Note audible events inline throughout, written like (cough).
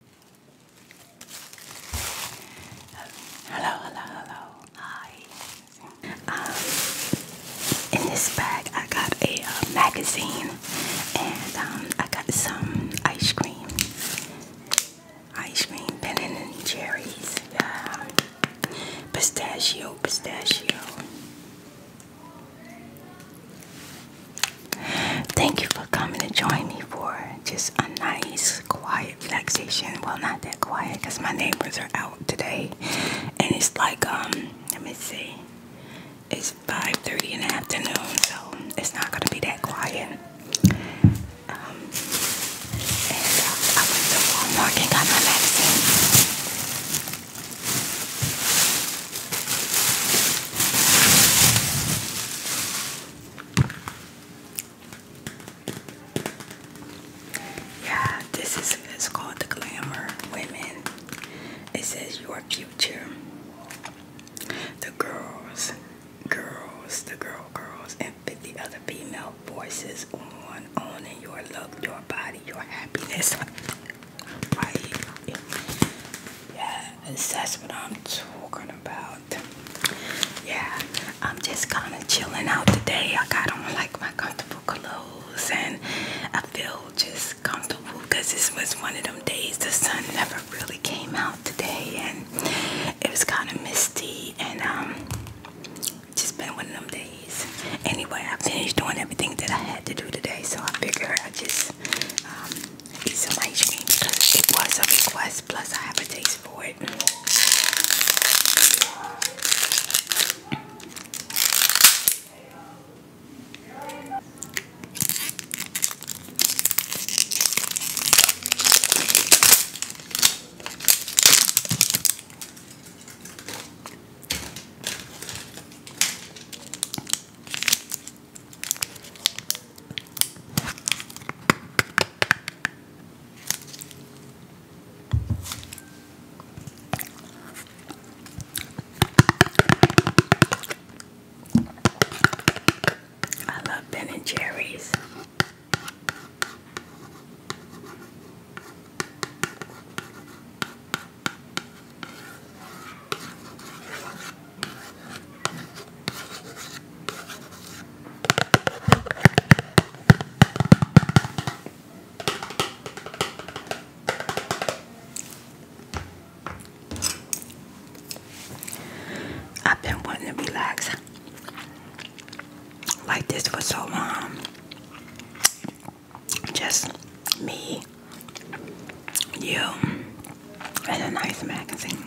Hello, hello, hello. Hi. Um, in this bag, I got a uh, magazine and um, I got some ice cream. Ice cream, Ben and Jerry's. Yeah. Pistachio, pistachio. Thank you for coming to join me for just a nice, quiet relaxation. Well, not that quiet because my neighbors are out today, and it's like um, let me see, it's 5:30 in the afternoon, so it's not gonna be that quiet. Um, uh, I went to Walmart and got my medicine. Yeah, this is it's called the Glamour Women. It says your future. The girls, girls, the girl girls, and 50 other female voices on owning your love, your body, your happiness. Right. Yes, that's what I'm talking about. Yeah, I'm just kind of chilling out today. I got on like my comfortable clothes and I feel just comfortable because this was one of them days the sun never really came out today and it was kind of misty and um just been one of them days. Anyway, I finished doing everything that I had to do today so I figure I just um, some ice cream because it was a request plus I have a taste for it. I love Ben and Jerry's. I've been wanting to relax like this for so long. Just me you and a nice magazine.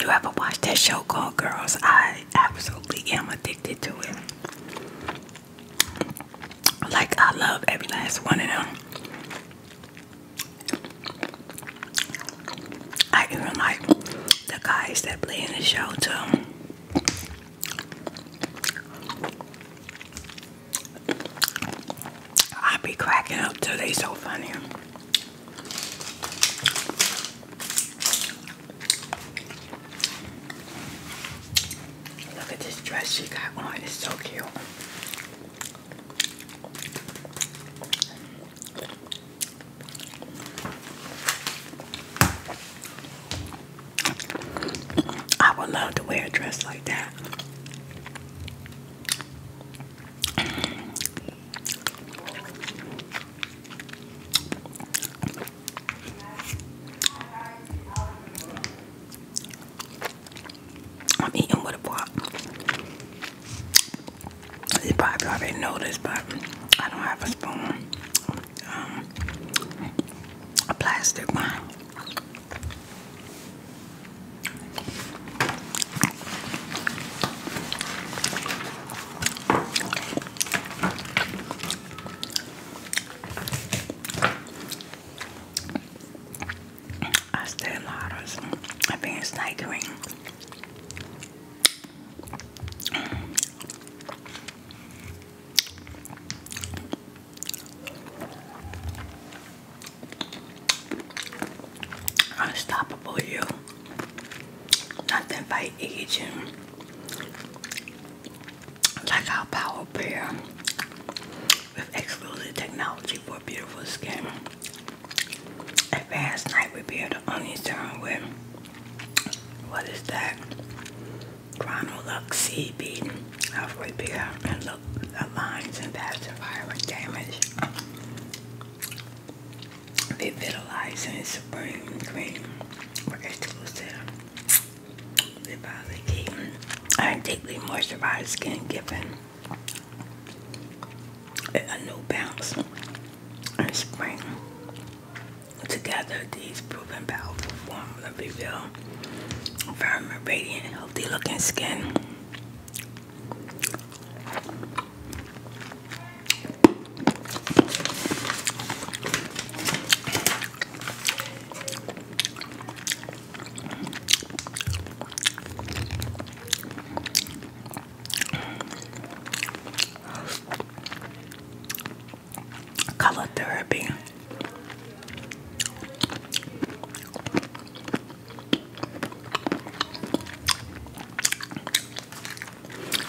You, ever watch that show called Girls? I absolutely am addicted to it. Like, I love every last one of them. I even like the guys that play in the show too. I be cracking up today. so funny. Look at this dress she got on, it's so cute. I would love to wear a dress like that. I'm eating with a pot. You probably already know this, but I don't have a spoon. Um, a plastic one. I still love us. I think it's night green. Unstoppable you. Nothing by aging. Like our power pair with exclusive technology for beautiful skin. fast night repair to only turn with what is that? Chronolux CB. I've and the lines and past environment damage. Revitalizing Supreme Cream for exclusive. Revitalizing and deeply moisturized skin giving a new bounce and spring. Together, these proven powerful formula reveal firm and radiant, healthy looking skin. Color therapy.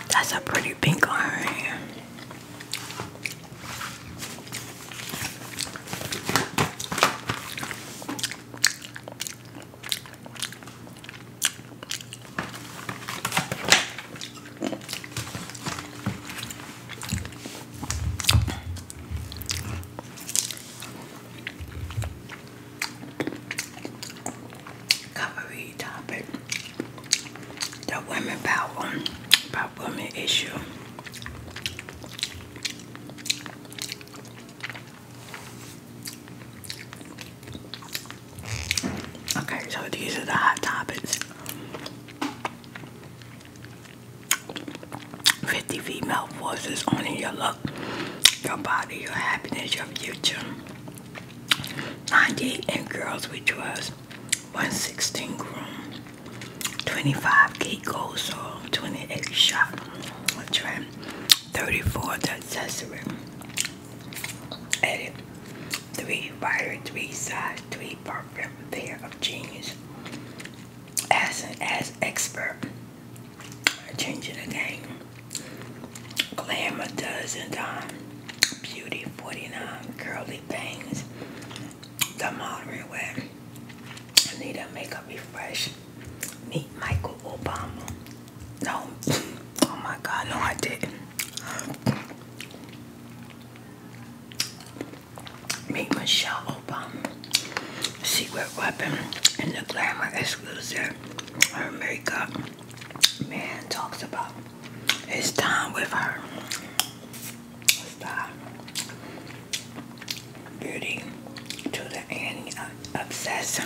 That's a pretty pink iron. Recovery topic the women power about women issue. Okay, so these are the hot topics. 50 female voices owning your look, your body, your happiness, your future. 90 in girls, which was 116 groom, 25 gate goals, so 28 shot, trend, 34 the accessory, edit three writer, three size three perfect pair of jeans. As an as expert, changing the game. Glamour dozen time. Beauty 49 curly bangs. The modern web. Anita makeup refresh. Meet Michael Obama. No. Oh my God, no, I didn't. Meet Michelle Obama, secret weapon, in the glamour exclusive. Her makeup man talks about his time with her. Stop. Beauty to the end uh, obsession.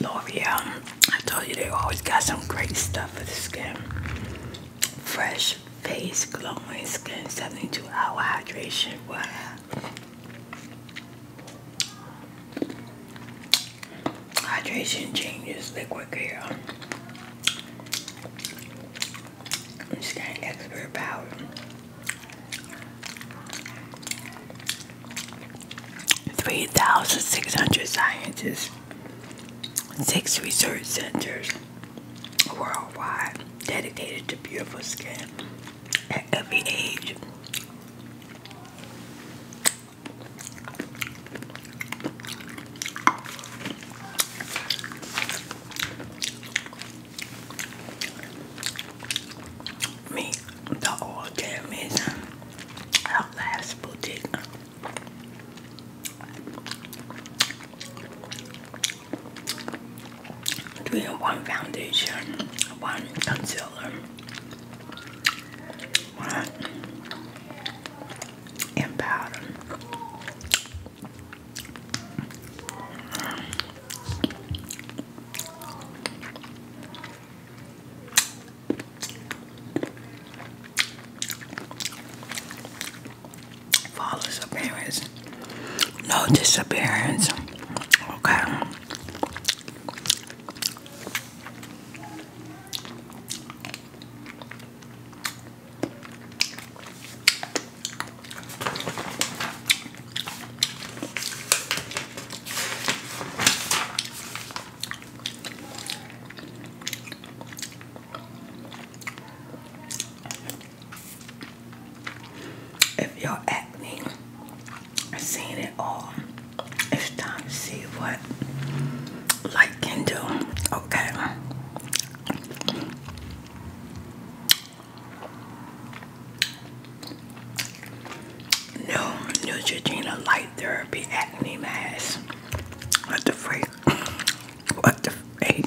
L'Oreal, I told you they always got some great stuff for the skin. Fresh face, glowing skin, 72 hour hydration. Wow. Hydration changes liquid care. I'm just getting expert power. Three thousand six hundred scientists, six research centers worldwide dedicated to beautiful skin at every age. Me, the old jam is our last boutique. Doing one foundation, one concealer, one and powder. Flawless appearance, no disappearance. Okay. If you're acne has seen it all, it's time to see what light can do. Okay. No, Neutrogena Light Therapy Acne Mask. What the freak? (coughs) What the freak?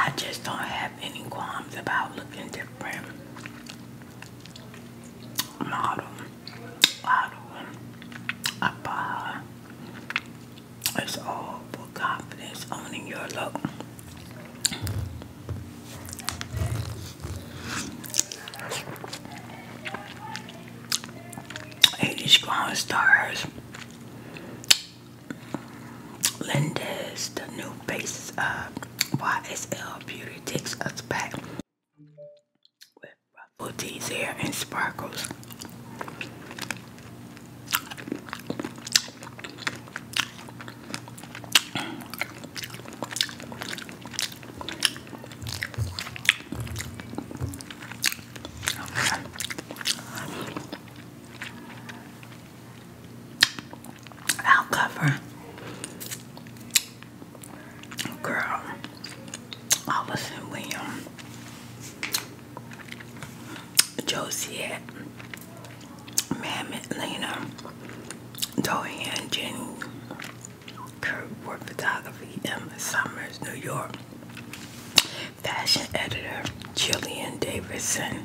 I just don't have any qualms about looking different. Model, model, upper, it's all for confidence, owning your look. Eighty strong stars. Linda's the new face of uh, YSL Beauty takes us back with ruffled teas here and sparkles. I'll cover. Girl, Allison oh, William, um, Josiette, Mammoth Lena, Dohan Jenny, Kurt Ward Photography, Emma Summers, New York, Fashion Editor, Jillian Davidson.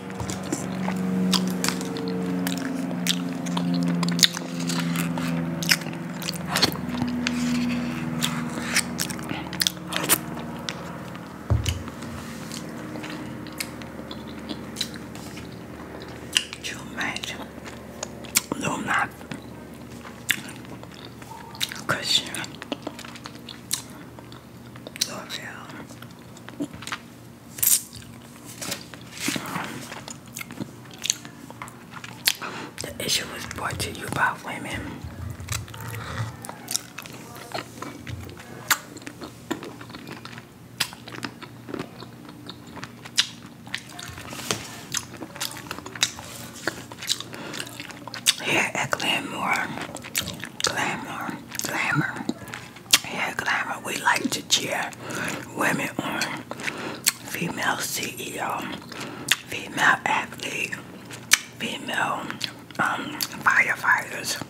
Could you imagine? No, I'm not. Cushion. Doorbell. The issue was brought to you by women. Here Glamour, Glamour, Glamour, Hair Glamour, we like to cheer women on, female CEO, female athlete, female um, firefighters,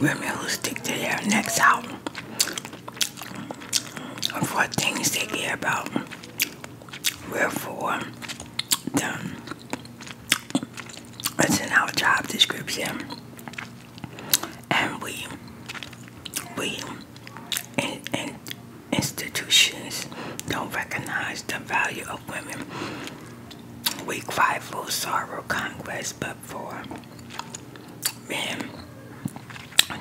women who stick to their necks out for things they care about. Where for. That's in our job description, and we, we, institutions don't recognize the value of women. We cry for sorrow, Congress, but for men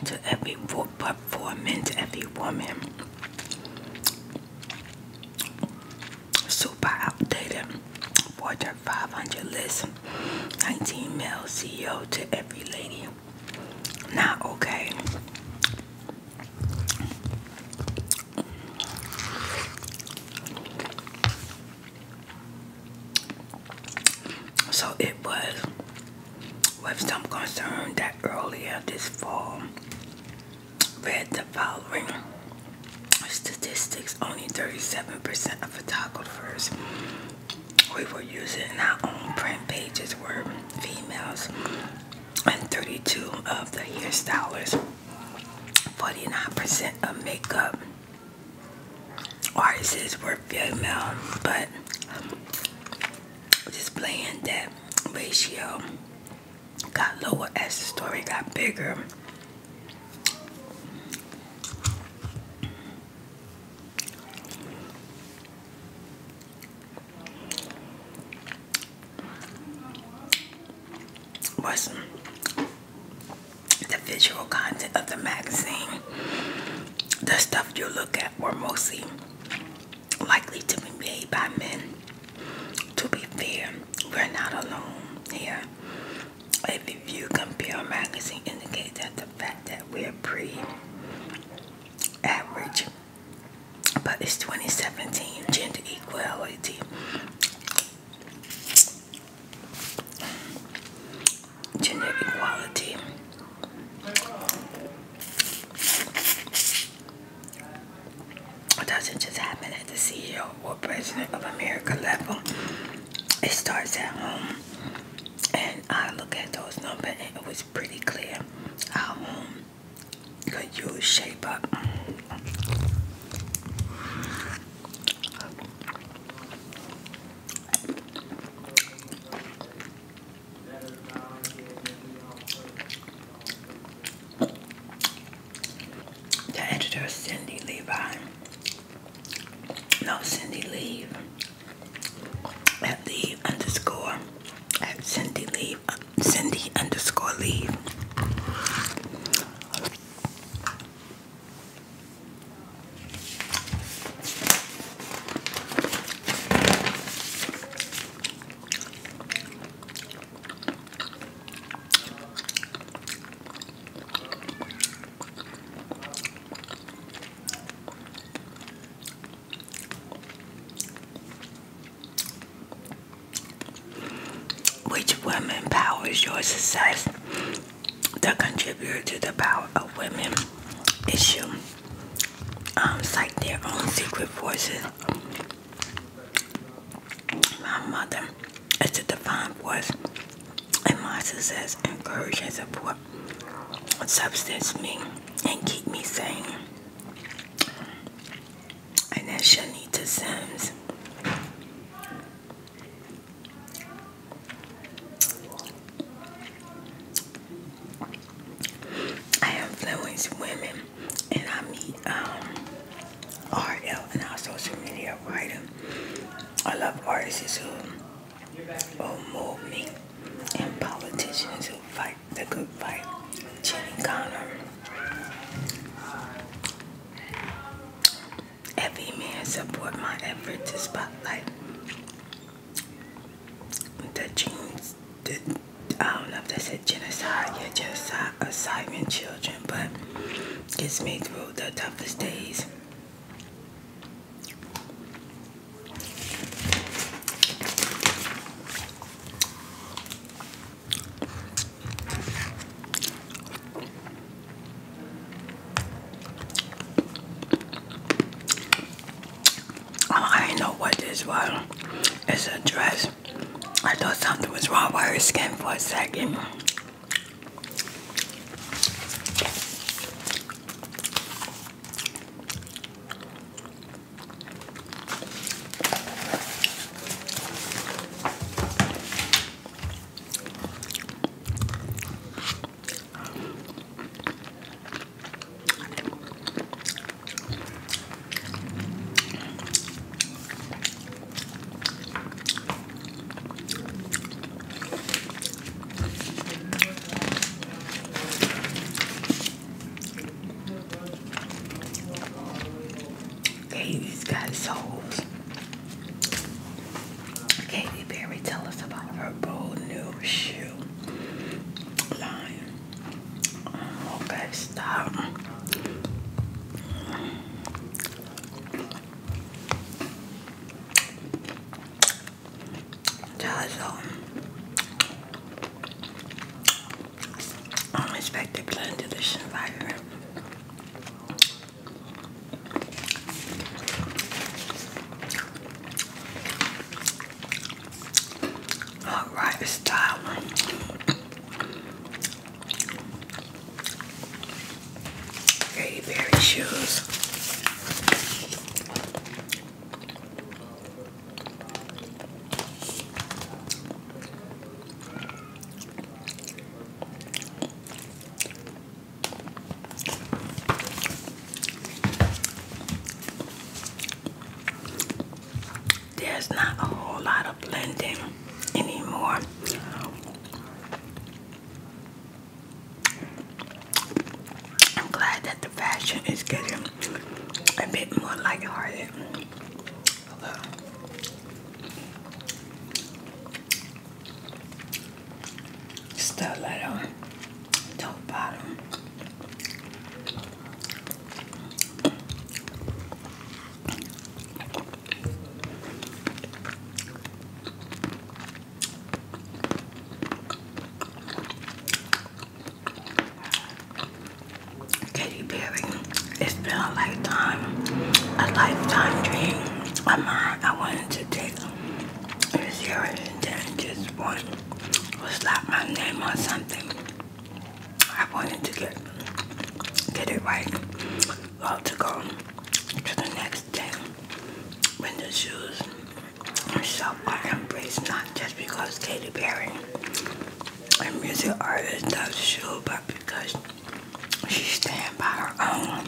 to every but for men to every woman super outdated. 4500 list, 19 male CEO to every lady. Not okay. So it was with some concern that earlier this fall, read the following statistics only 37% of photographers we were using our own print pages were females and 32 of the hairstylists 49% of makeup artists were female but just playing that ratio got lower as the story got bigger. Was the visual content of the magazine? The stuff you look at were mostly likely to be made by men to be fair, we're not alone here. If you compare magazine indicate that the fact that we're pre average but it's 2017 gender equality gender equality it doesn't just happen at the CEO or President of America level. It starts at home. And I look at those numbers and it was pretty clear how could use shape up the editor Cindy Levi. No, Cindy Leave at the underscore at Cindy Leave uh, Cindy underscore Leave. Which woman powers your success? The contributor to the power of women issue. Um, it's like their own secret forces my mother is a divine voice, and my success, encourage, and support substance me and keep me sane. And that's Shanita Sims. I influence women and I meet um, RL and our social media writer. I love artists who, who move me and politicians who fight the good fight. Jenny Connor. Every man support my effort to spotlight the dreams, the um, I don't know if that said genocide, yeah, genocide of Syrian children, but gets me through the toughest days. Oh, I know what this was. It's a dress. I thought something was wrong with her skin for a second. Katie's got souls. Katy Perry, tell us about her bold new shoe line. Okay, stop. Jazzo. Unexpected blood deletion All right, it's Katy Perry shoes there's not a whole lot of blending anymore. I'm glad that the fashion is getting a bit more lighthearted. Stiletto, top bottom. Katy Perry, it's been a lifetime, a lifetime dream of mine. I wanted to take it serious and just want to slap my name on something. I wanted to get get it right. Well, to go to the next day when the shoes so I embrace not just because Katy Perry a music artist does shoes, but because she stand by her own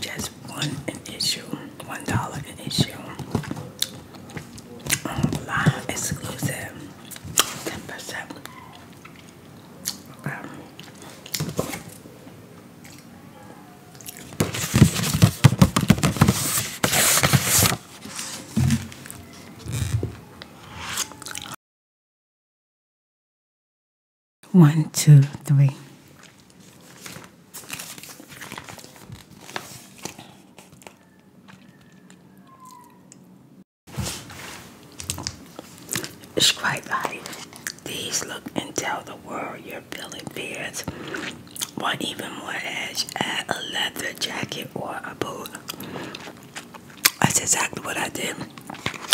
Just one an issue, one dollar an issue. Um, Online exclusive, ten percent. Um, one, two, three. Describe body. These look and tell the world you're feeling fears. Or even more edge, add a leather jacket or a boot. That's exactly what I did.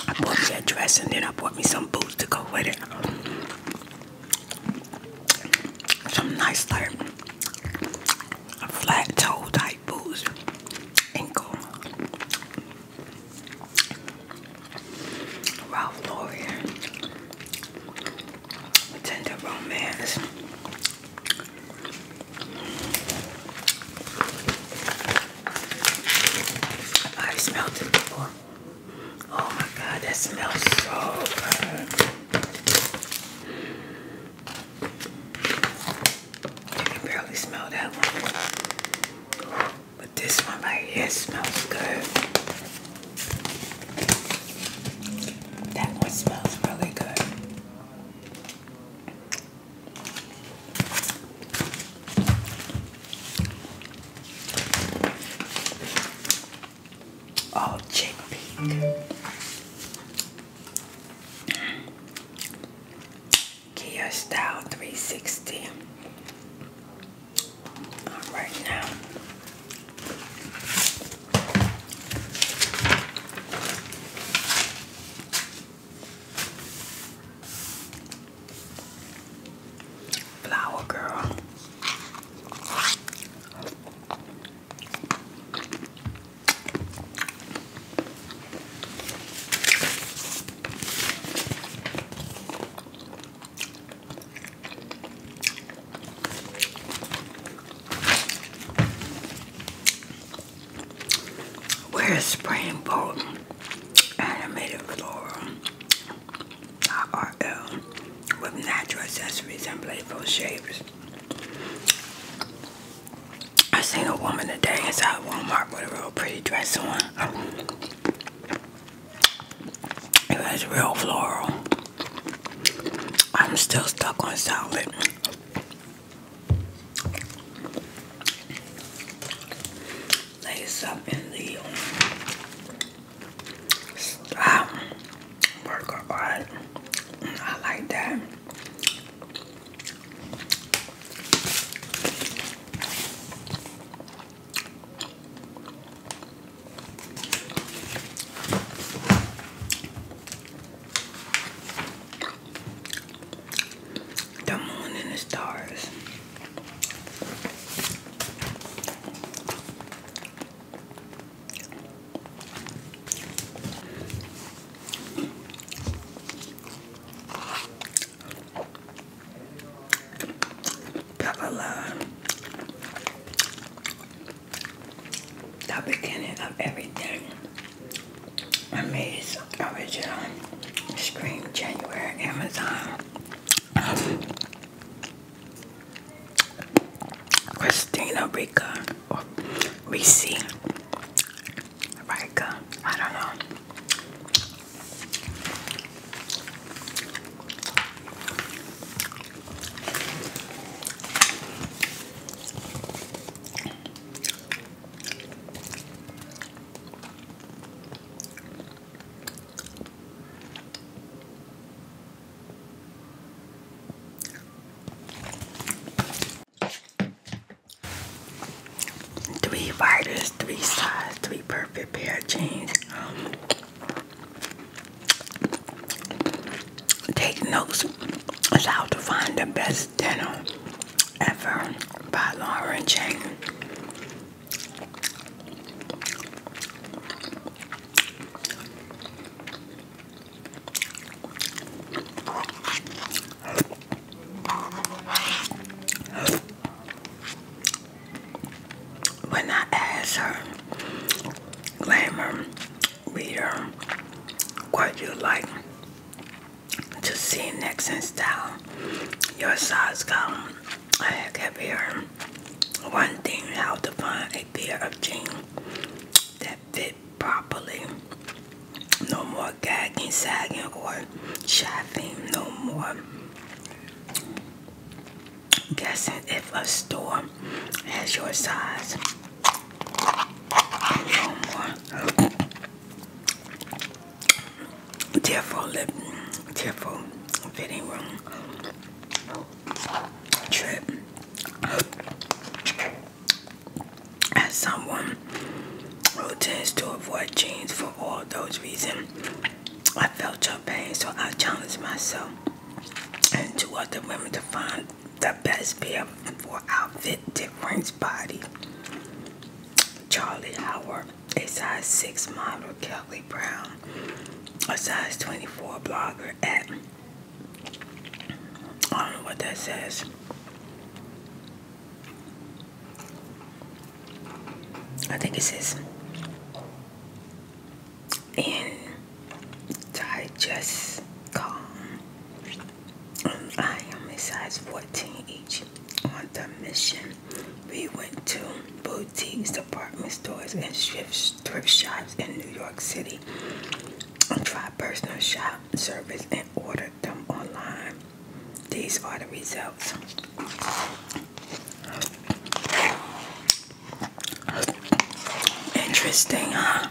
I bought me a dress and then I bought me some boots to go with it. Some nice like flat toe type boots. Ankle. Ralph Lauren. Tender romance. I smelled it before. Oh my god, that smells so good. You can barely smell that one. But this one right here smells good. That one smells really good. Oh, chick pink. Kia Style 360. All right now. Flower girl. Where's are spraying both animated floral RL with natural accessories and playful shapes. I seen a woman today inside Walmart with a real pretty dress on. It was real floral. I'm still stuck on solid. Lace up in the stop burger I like that. The moon and the stars. Pepper the beginning of everything. I made some original Scream January Amazon. Christina Rica or Reese I don't know. Three fighters, three size, three perfect pair of jeans. Take notes as how to find the best Finest Ever by Lauren Jane. When I asked her, glamour reader, what you like to see next in style. Your size column. I have here one thing how to find a pair of jeans that fit properly. No more gagging, sagging, or shopping. No more guessing if a store has your size. No more. fitting room trip. As someone who tends to avoid jeans for all those reasons, I felt your pain, so I challenged myself and two other women to find the best pair for outfit difference body. Charlie Howard, a size 6 model, Kelly Brown, a size 24 blogger at, I don't know what that says. I think it says, in digest calm. I am a size 14 each. On the mission, we went to boutiques, department stores, and thrift, thrift shops in New York City. I tried personal shop service and ordered them online. These are the results. Interesting, huh?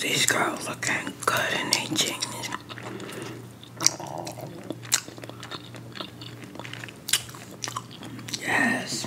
These girls looking good in their Yes.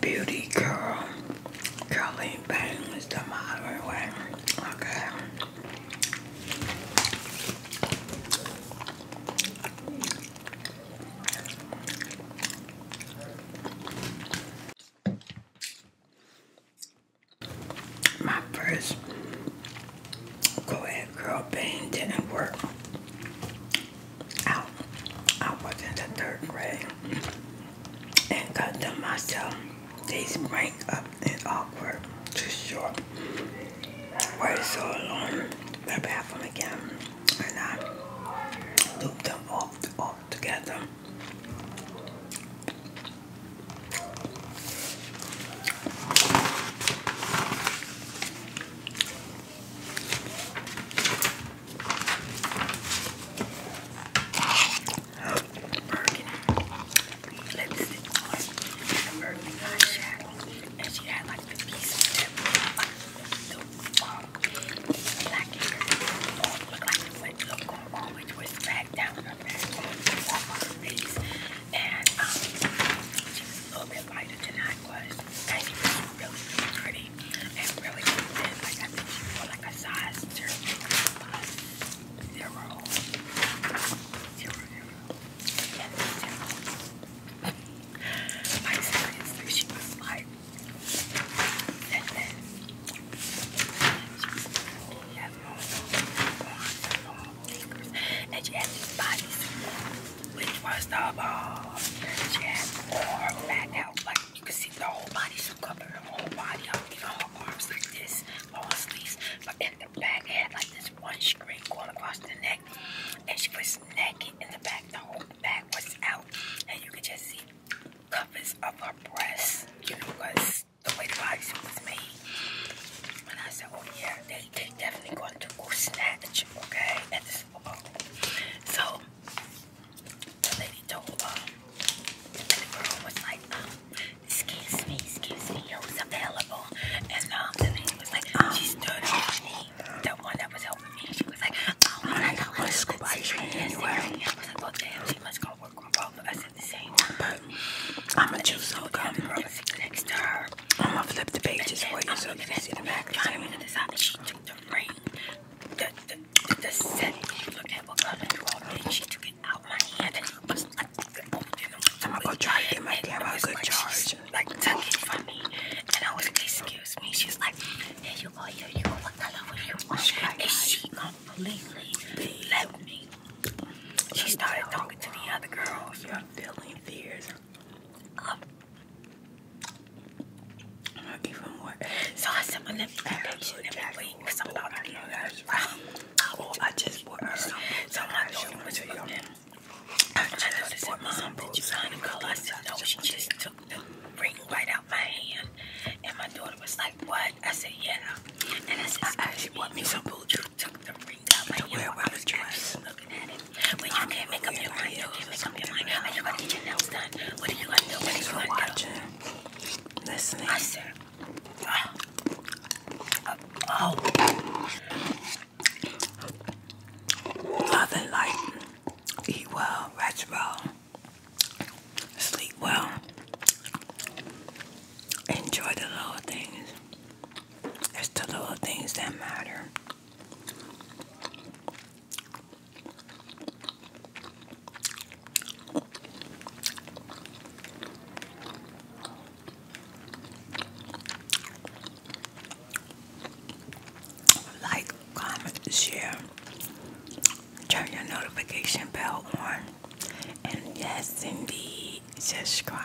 Beauty girl, Curly Bang the modern way. Okay. My first go ahead girl pain didn't work out. I was in the third grade and cut them myself. These break up and awkward. Too short. Why is so long? The bathroom again. And I loop them all, all together lipstick on the Berkeley eyeshadow, and she had like the piece of that like the black hair looked like it went look going on, which was back down her back and um, a little bit lighter than I was, and she was really, pretty and really thin. Like I think she wore like a size uh, zero, plus I seriously, she was like, and then she has long, long, fingers, and she had these bodies, which was the ball. She had her fat like you could see the whole body, she covered her whole body up, her arms like this, long sleeves, the back. had like this one string going across the neck, and she was naked in the back. The whole back was out, and you could just see covers of her breasts. You know, because the way the bodysuit And I said, "Oh yeah, they they definitely going to snatch, okay?" So the lady told and um, the girl was like, um, excuse me, excuse me, who's available? And um, the lady was like, um, she stood over me. The one that was helping me, she was like, oh, I got my scoop ice cream anyway. I was like, well, damn, she must go work on both of us at the same time. But I'm going to choose who comes next to her. I'm going to flip the pages for you so you can see the back. I'm going to decide that she took the ring, the, the, the set you looked at, what color you all did, she took out my hand and I'm gonna go try to get my camera a good like, charge. Like took it from me, and I was like, excuse me. She's like, yeah, you go, here you go. What color will you want? And she completely left me. She started talking to the other girls. You're feeling fears. Um, even more. So I said, my left patient every week because I'm not about to (laughs) be Oh, I just bought her some. Someone I just bought me some that you kind of girl? I said, no, she just took the ring right out my hand. And my daughter was like, what? I said, yeah. And I said, I bought me some boots. took the ring out my hand. Where I was dressed. Looking at it. When you can't make up your mind, you can't make up your mind. Are you going to get your nails done? What are you going to do? What are you going to do? Listening. Oh, nothing like eat well, rest well, sleep well, enjoy the little things. It's the little things that matter. Like, comment, share, turn your notification bell on, and yes, indeed, subscribe.